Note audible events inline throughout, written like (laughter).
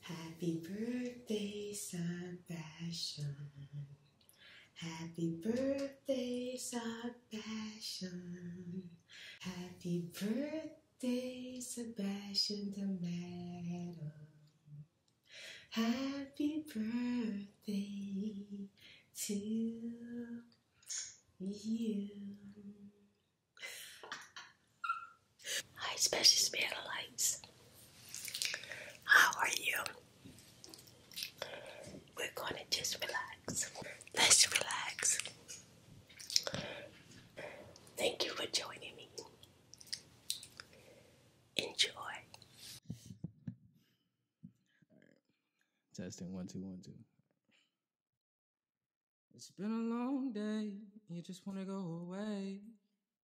Happy birthday, Sunbastion. Happy birthday, Sunbastion. Happy birthday, Sebastian the Metal. Happy birthday to you. Hi, Special Spiritualites. How are you? We're gonna just relax. Let's relax. Thank you for joining me. Enjoy. Right. Testing one, two, one, two. It's been a long day. You just want to go away.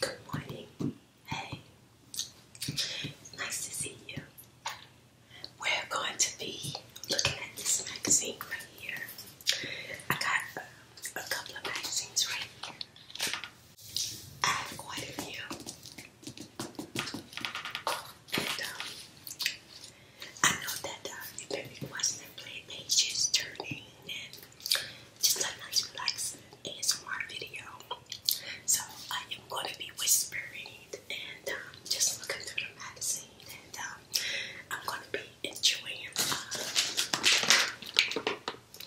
Good morning. Hey. Nice to see you. We're going to be looking at this magazine right here. I got a couple of magazines right here. I have quite a few. And um, I know that uh, you've been watching and play turning and just a nice relaxed ASMR video. So I am going to be whispering and um, just looking through the magazine and um, I'm going to be enjoying uh,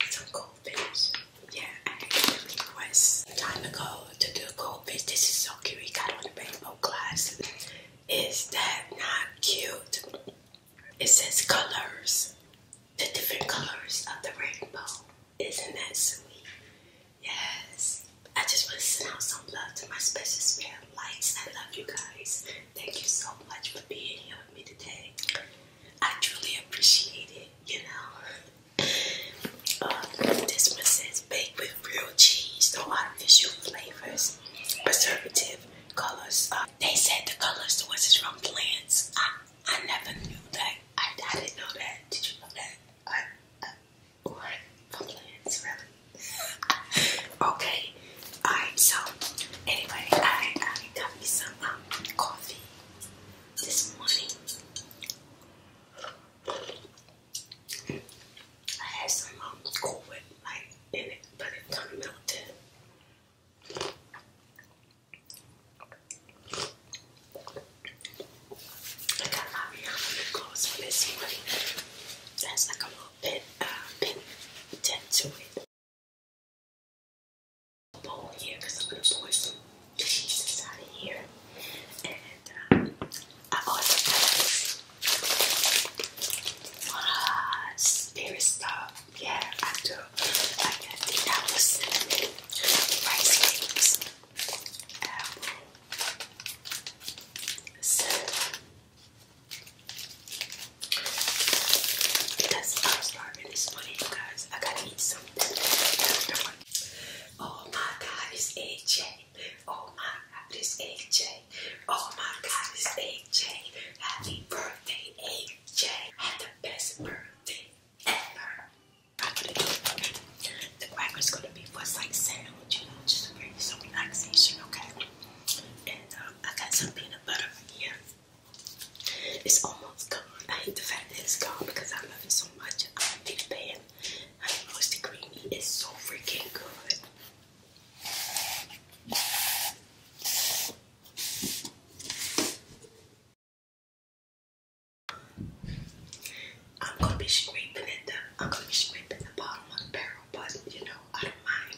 some goldfish. Yeah, I had a request a time ago to do a goldfish. This is so cute. We got on the rainbow glass. Is that not cute? it says colors, the different colors of the rainbow. Isn't that sweet? Yes. I just want to send out some love to my special spirit lights. I love you guys. Thank you so much for being here with me today. I truly appreciate it, you know. (laughs) Um, this one says baked with real cheese, no artificial flavors, preservative colors, uh, they said the colors was is from plants. I, I never knew that. I, I didn't know that. Did you know that? I, I, what? From plants, really? (laughs) okay. Alright, so anyway, I, I got me some um, coffee this morning. I had some um, cool like in it, but it kind of melted. I got my Rihanna lip gloss for this one. That's like a little bit, uh, pin tint to it. Bowl here because I'm gonna pour some pieces out of here. And I also got this uh, stuff yeah, I do. I got think that was cinnamon, rice cakes, apple, cinnamon. Because I'm starving this morning, guys. I gotta eat something. Oh my God, it's AJ. Oh my God, it's AJ. Oh my god, it's AJ. Happy birthday, AJ. Had the best birthday ever. The cracker's gonna be what's like sandwich, you know, just to bring you some relaxation, okay? And uh, I got some peanut butter here. It's almost gone. I hate the fact that it's gone because I love it so much. I'm a big fan. I mean, Moisty Creamy is so freaking good. I'm gonna be scraping it. The, I'm gonna be scraping the bottom of the barrel, but you know I don't mind.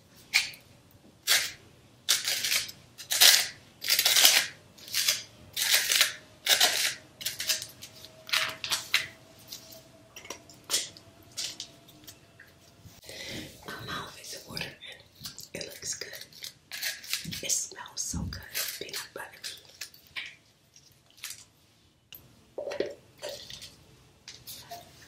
My mouth is watering. It looks good. It smells so good. Peanut butter.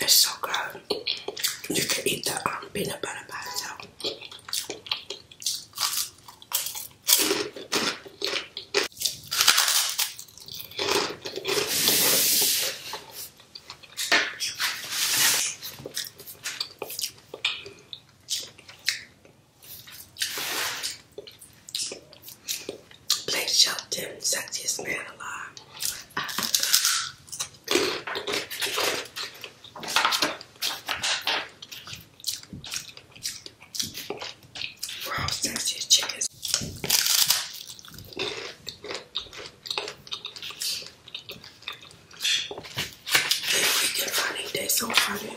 It's so good. You can eat the um, peanut butter by itself. Blake Shelton, sexiest man alive. Wow, sexy chickens. They freaking funny. They so funny.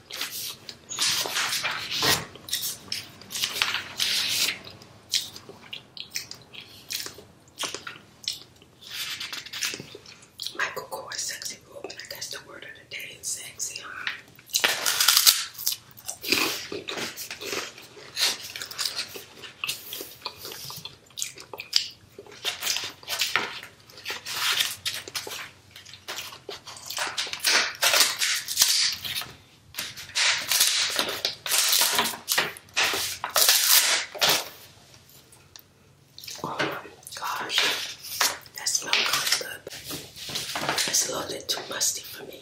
Michael Kors Sexy Woman. I guess the word of the day is sexy, huh? Oh my gosh, that smells kind of good. It's a little bit too musty for me.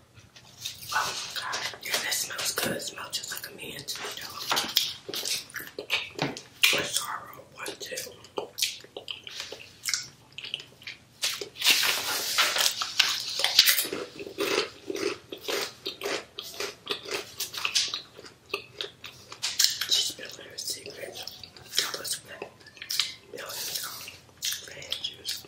Oh my god. Yeah, that smells good. smells just like a man to One two. She's been her secret. That was good. Millions of bad juice.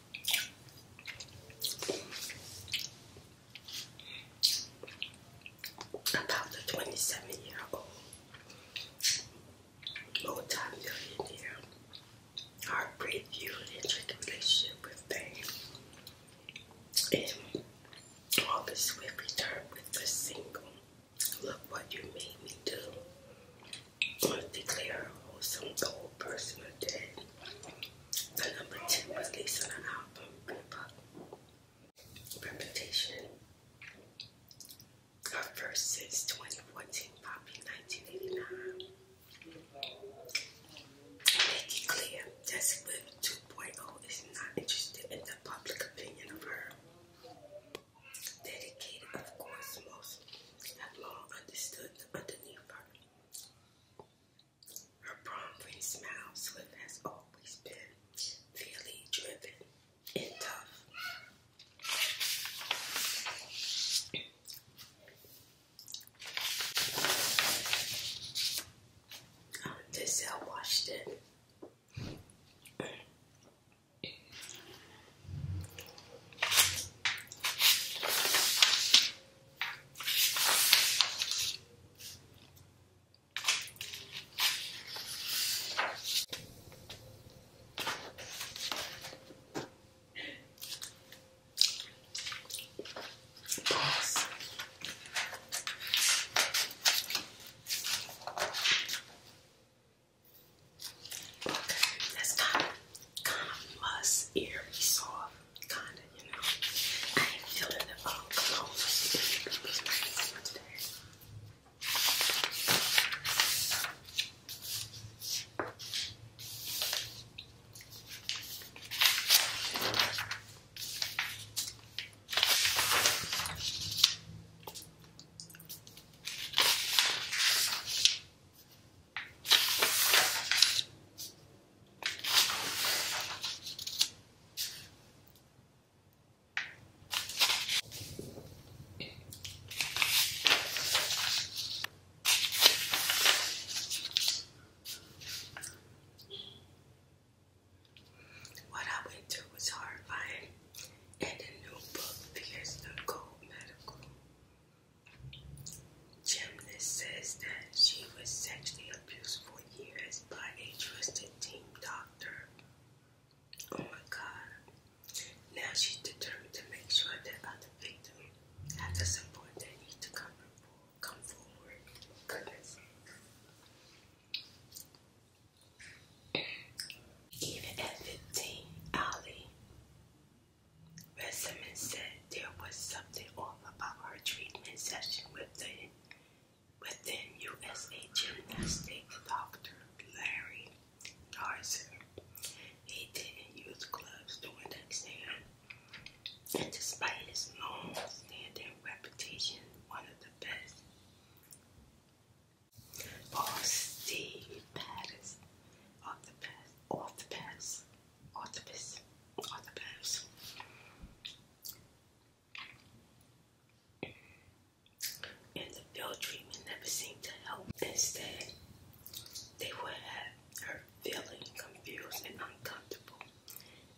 about the 27 year old multi millionaire heartbreak feud and tricky relationship with fame. And August Swift returned with the single Look What You Made Me Do. I declare wholesome old person dead. The number 10 was released on an album, Good Luck. Reputation. Our first since 2014, Poppy 1989. Make it clear, Desi Whip 2.0 is not interested in the public opinion of her. Dedicated, of course, most have long understood underneath her. Her prom-free smile, Swift has always been fairly driven and tough. Um, Denzel Washington. Yes. Okay, let's kind of, kind of must Kinda, you know. I ain't feeling the um, cologne, so not use my cologne today. What I went to was horrifying, and the new book fears the gold medical. Chimness says that she was sexually abused for years by a trusted team doctor. Oh my god. Now she's determined to make sure that other victims have the support they need to come, come forward. Goodness. Even at 15, Ali Bessemer said there was something off about her treatment session with the with then USA gymnastics doctor Larry Darzer. He didn't use gloves during the exam, and despite his long-standing reputation, one of the best. Boss Steve Pattis, off the pass, off the pass, Otobüs. Otobüs. And the field treatment never seemed to help. Instead, they would have her feeling confused and uncomfortable.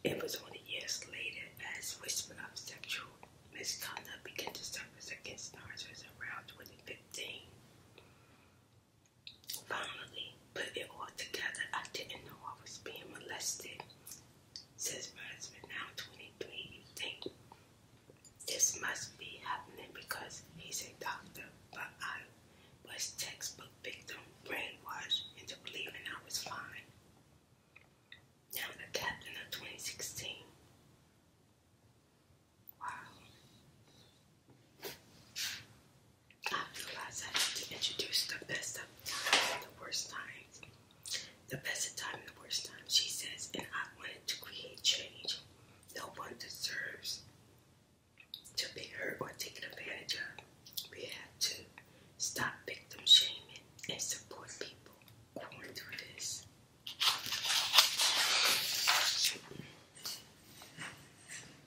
It was only years later as whispers of sexual misconduct began to surface against nurses around 2015. Finally, put it all together. I didn't know I was being molested. Says my husband, now 23, you think this must be happening because he's a doctor, but I was textbook victim, brainwashed into believing I was fine. Now the captain of 2016. Wow. I realized I had to introduce the best of times and the worst times. The best of times and the worst times, she says, and I wanted to create change. No one deserves to be hurt or taken advantage of. We have to stop victim shaming and support people going through this.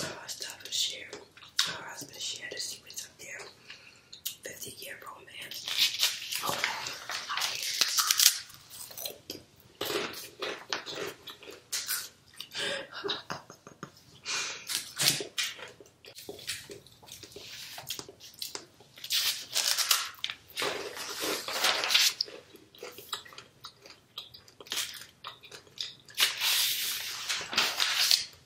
Her husband shared. Her husband shared the secrets up there. fifty-year romance. Okay,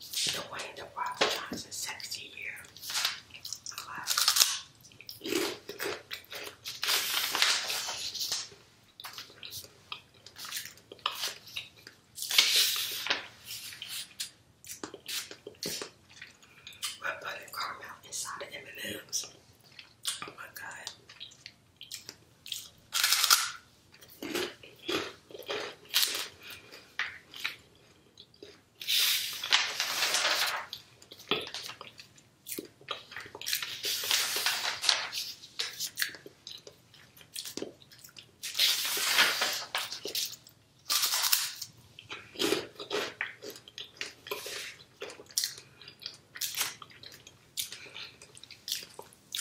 Dwayne the Rock Johnson sexy year. We're putting caramel inside the M&M's. Oh my god.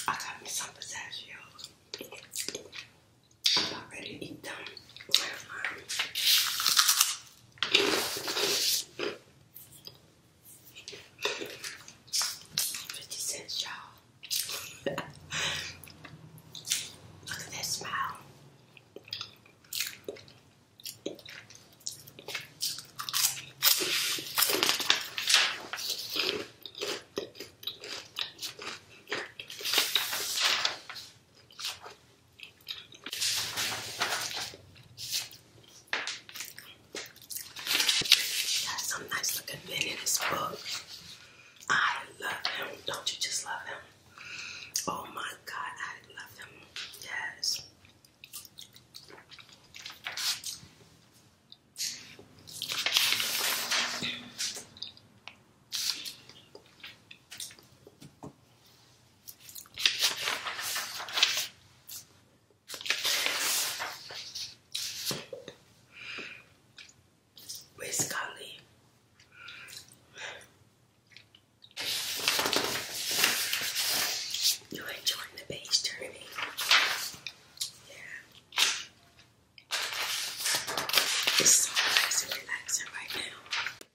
I got me some pistachios. I'm About ready to eat them. 50 cents, y'all. Look at that smile has some nice looking men in his book. I love him. Don't you just love him? Oh my god, I love him. Yes. Basically, you enjoying the page turning. Yeah. It's so nice and relaxing right now.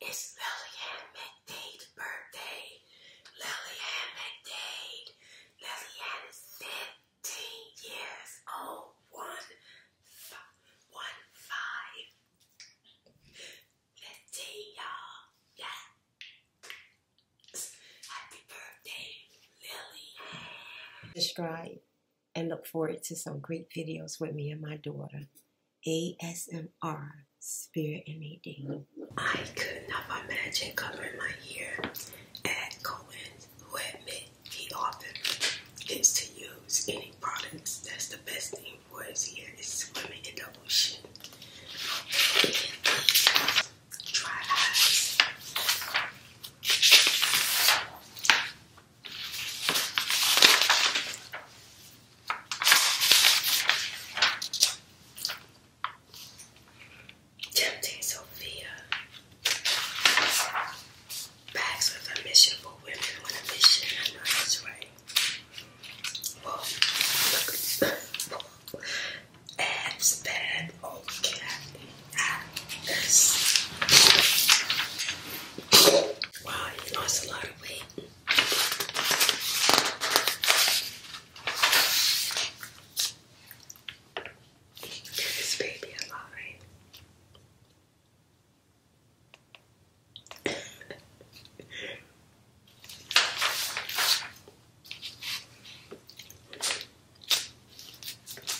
It's Lillian McDade's birthday. Lillian McDade. Lillian is 15 years old. One, five, one, five. 15, y'all. Yeah. Happy birthday, Lillian. Describe and look forward to some great videos with me and my daughter. ASMR, Spirit and Nadine. I could not imagine covering my ear at Cohen, who admit he often gets to use any products. That's the best thing for his ear is swimming in the ocean. dry eyes. Tempting Sophia. Bags with a mission for women on a mission. I know that's right. Well, look. (coughs) Abs, bad, old Kathy. Wow, you lost a lot of weight. Give this baby a line.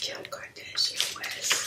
Kim Kardashian West.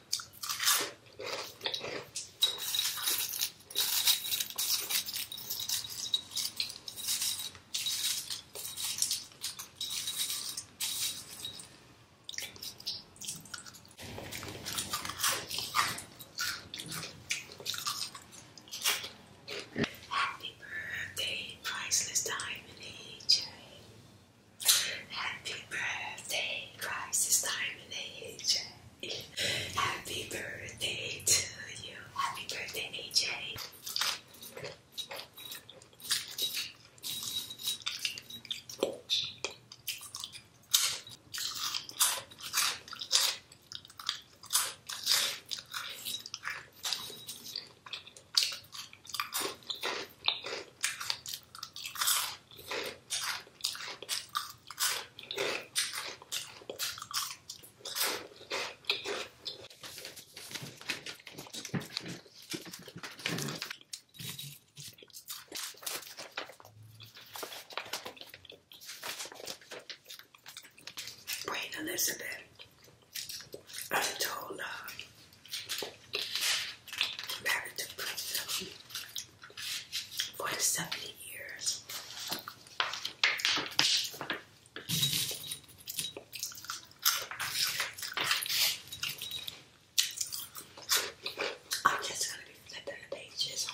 Happy birthday, priceless diamond AJ. Happy birthday, Christ is AJ. Happy birthday to you. Happy birthday, AJ. Wait, Elizabeth. I told her married to 70 years. I'm just gonna be flipping the pages.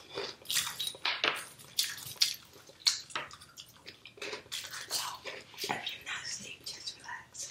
So, if you're not asleep, just relax.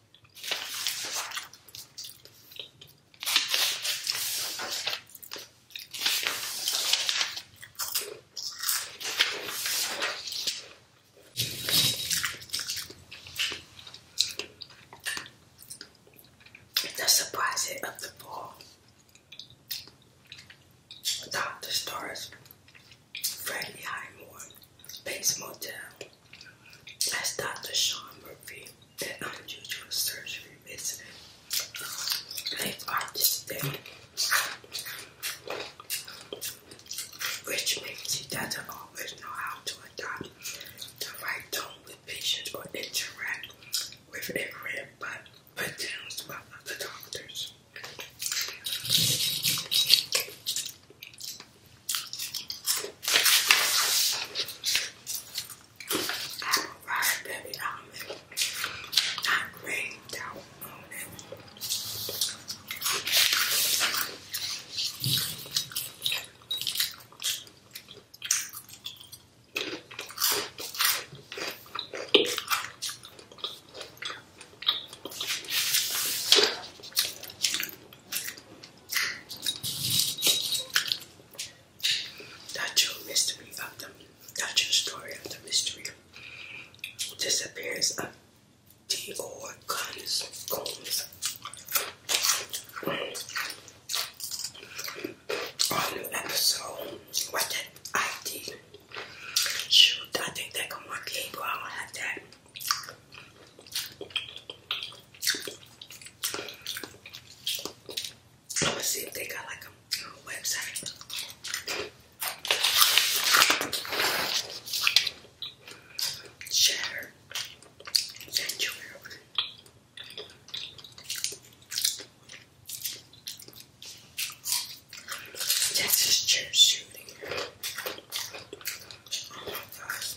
The surprise hit of the fall. Dr. Stars, Freddie Highmore, Base Motel. That's Dr. Sean Murphy at Unusual Surgery Medicine. Life Artist Day, which means he doesn't always know how to adopt the right tone with patients or interact with everyone, but put downs by other doctors apple pie, baby almond, not green, don't own it. The true mystery of the, the true story of the mystery disappearance of Dior Combs. Combs. All new episode. What that ID? Shoot, I think that come on cable. I don't have that. I'm gonna see if they got like a website. Shatter Sanctuary. Texas church shooting. Oh my gosh,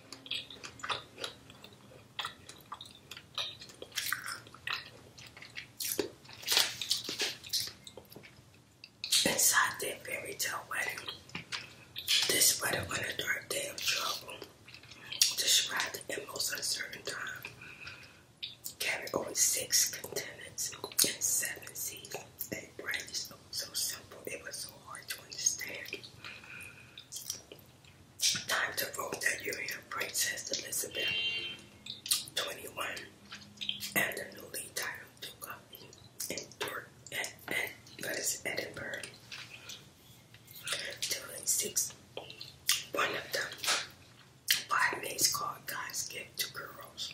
Inside that fairy tale wedding, this wedding on a dark day of trouble, described the most uncertain time, carried on six continents and seven seas, and branches so simple. It was so hard to understand. Time to vote. that you're Urian Princess Elizabeth, 21, and the newly titled Duke of in Dort at, Edinburgh. During six, one of them, five minutes called God's Gift to Girls.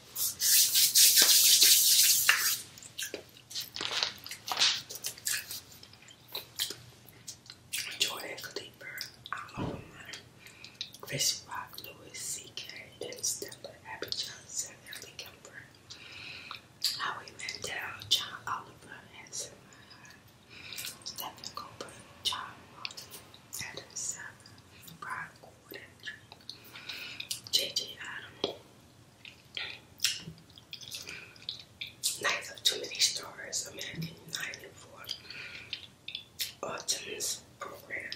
Jordan Cleaver, Oliver Chris Rock, Louis C.K., Ben Stiller, Abby Johnson, Ellie Kemper, Howie Mandel, John Oliver, Hanson Stephen Cooper, John Martin, Adam Seven, Brian Gordon, J.J. Adam, Nights of too many stars, American United for Autumn's program.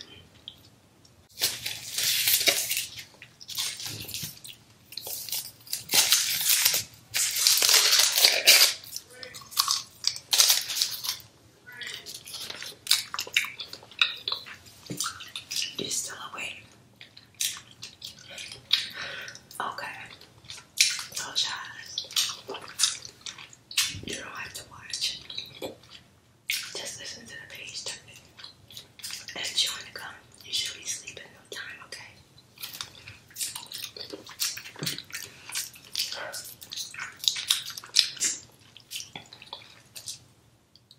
you still awake. Okay. So, child, you don't have to watch. Just listen to the page turn it. And chewing the gum. You should be sleeping no time, okay?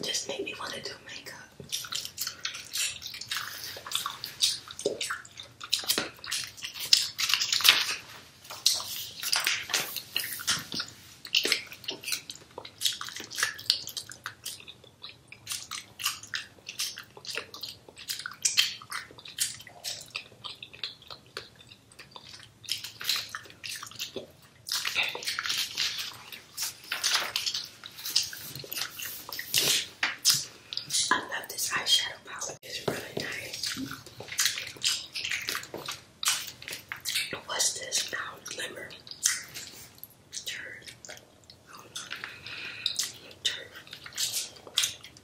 Just make me want to do makeup. I love this eyeshadow palette. It's really nice. What's this now? Glimmer. Turd. Turd.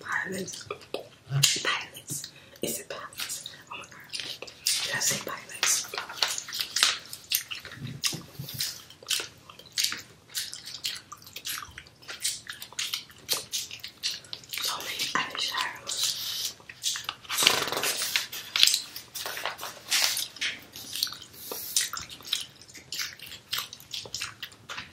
Pilots. Pilots. Is it pilots? Oh my god. Did I say pilots? So many eyeshadows.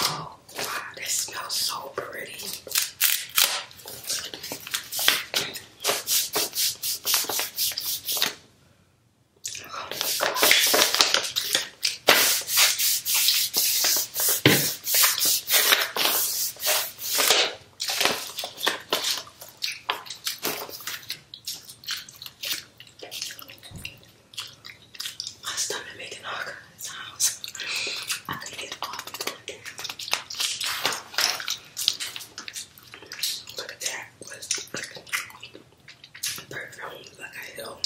Oh, wow, this smells so pretty. My stomach making all kinds of sounds. I could get off Look at that. Was perfume like I know.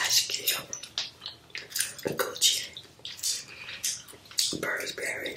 I should kill Gucci, Burberry.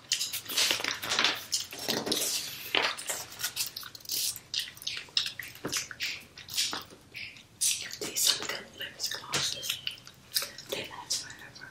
These some good lips glosses. They last forever.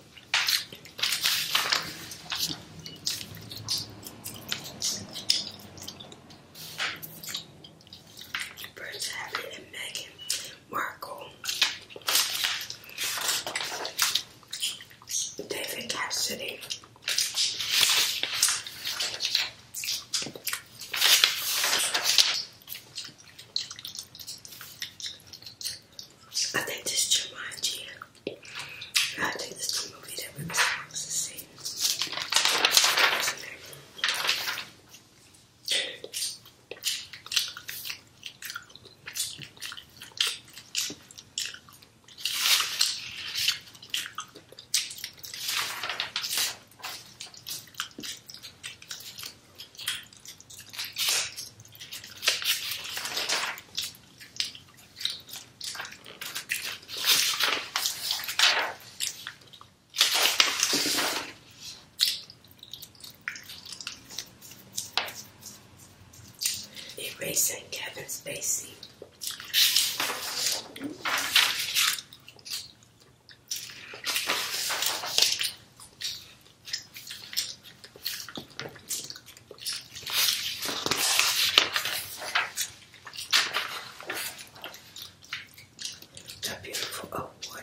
Prince Harry and Meghan Markle, David Cassidy. I think this Jumanji. I think this is the movie that we were supposed Erasing Kevin Spacey. That beautiful oak water.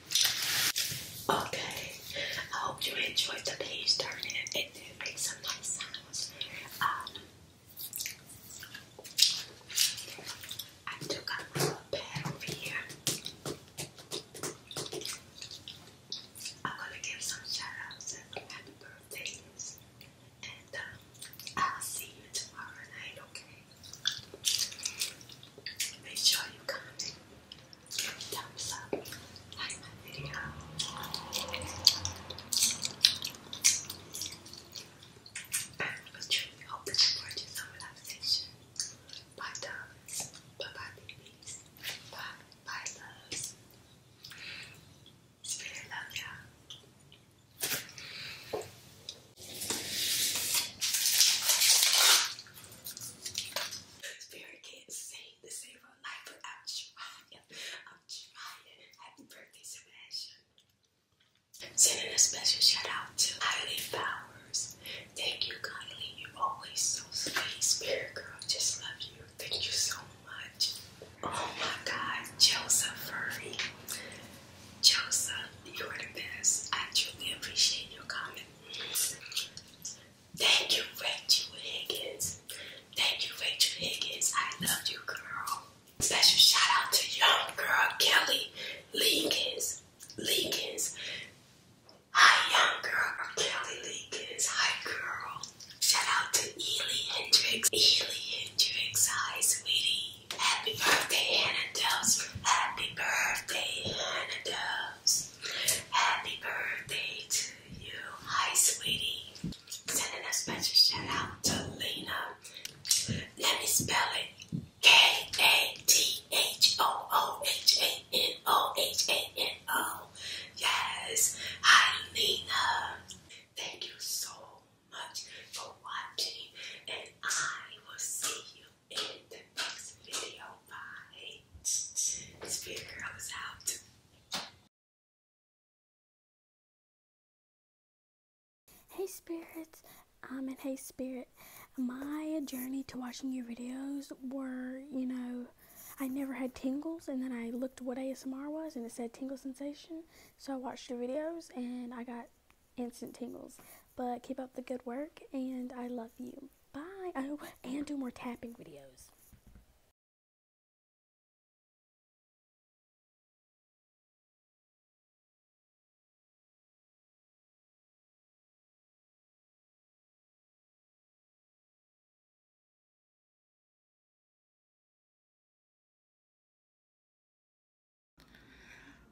Okay, I hope you enjoyed today's turning and did make some nice sounds. Um, I took out little pad over here. I'm gonna give some shout outs and happy birthdays. And um, I'll see you tomorrow night, okay? Make sure you comment, give thumbs up, like my video. And for truly hope that you some relaxation. Bye darlings. Bye babies. Bye bye loves. Spirit love y'all. Very can't sing to save her life, but I'm trying. Happy birthday, Sebastian. Sending a special shout out to Eileen Powers. Thank you, Kylie. You're always so sweet. Spirit girl, just love you. Thank you so much. Oh my God, Joseph Furry. Joseph, you are the best. I truly appreciate your comment. Thank you, Rachel Higgins. Thank you, Rachel Higgins. I love you, girl. Special shout out to young girl Kelly Lincolns. Lincolns. Hi, young girl. I'm Kelly Lincolns. Hi, girl. Shout out to Ely Hendricks. Ely Hendricks. Hi, sweetie. Happy birthday, Anna Doves. Happy birthday, Anna Doves. Happy birthday to you. Hi, sweetie. Sending a special shout out to Lena. Let me spell it. K-A-T-H-O-O-H-A-N-O-H-A-N-O. Yes. Hi, Lena. Thank you so much for watching, and I will see you in the next video. Bye. This girl is out. Hey spirits, um, and hey spirit, my journey to watching your videos were, you know, I never had tingles, and then I looked what ASMR was, and it said tingle sensation. So I watched your videos, and I got instant tingles. But keep up the good work, and I love you. Bye. Oh, and do more tapping videos.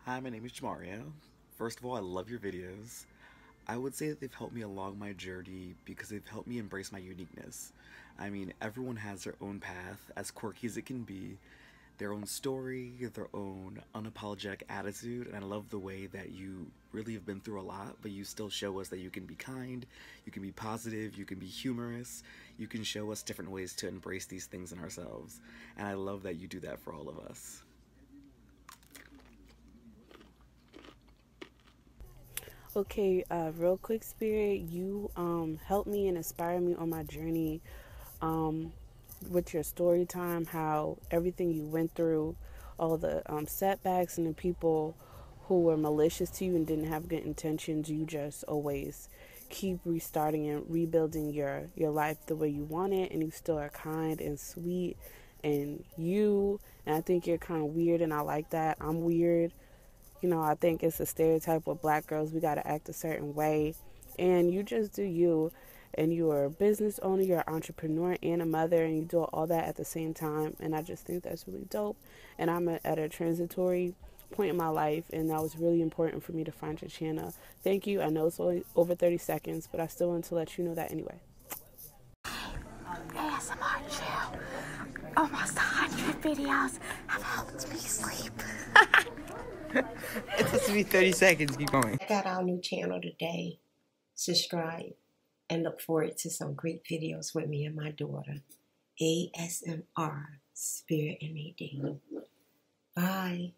Hi, my name is Mario. First of all, I love your videos. I would say that they've helped me along my journey because they've helped me embrace my uniqueness. I mean, everyone has their own path, as quirky as it can be, their own story, their own unapologetic attitude, and I love the way that you really have been through a lot, but you still show us that you can be kind, you can be positive, you can be humorous, you can show us different ways to embrace these things in ourselves. And I love that you do that for all of us okay uh, real quick spirit you um, helped me and inspired me on my journey um, with your story time how everything you went through all the um, setbacks and the people who were malicious to you and didn't have good intentions you just always keep restarting and rebuilding your your life the way you want it and you still are kind and sweet and you. And I think you're kind of weird and I like that. I'm weird. You know, I think it's a stereotype with black girls. We got to act a certain way. And you just do you. And you are a business owner, you're an entrepreneur, and a mother, and you do all that at the same time. And I just think that's really dope. And I'm at a transitory point in my life, and that was really important for me to find Chachana Thank you. I know it's only over 30 seconds, but I still want to let you know that anyway. ASMR channel. Almost 100 videos have helped me sleep. it's supposed to be 30 seconds. Keep going. Check out our new channel today. Subscribe and look forward to some great videos with me and my daughter. ASMR Spirit and AD. Bye.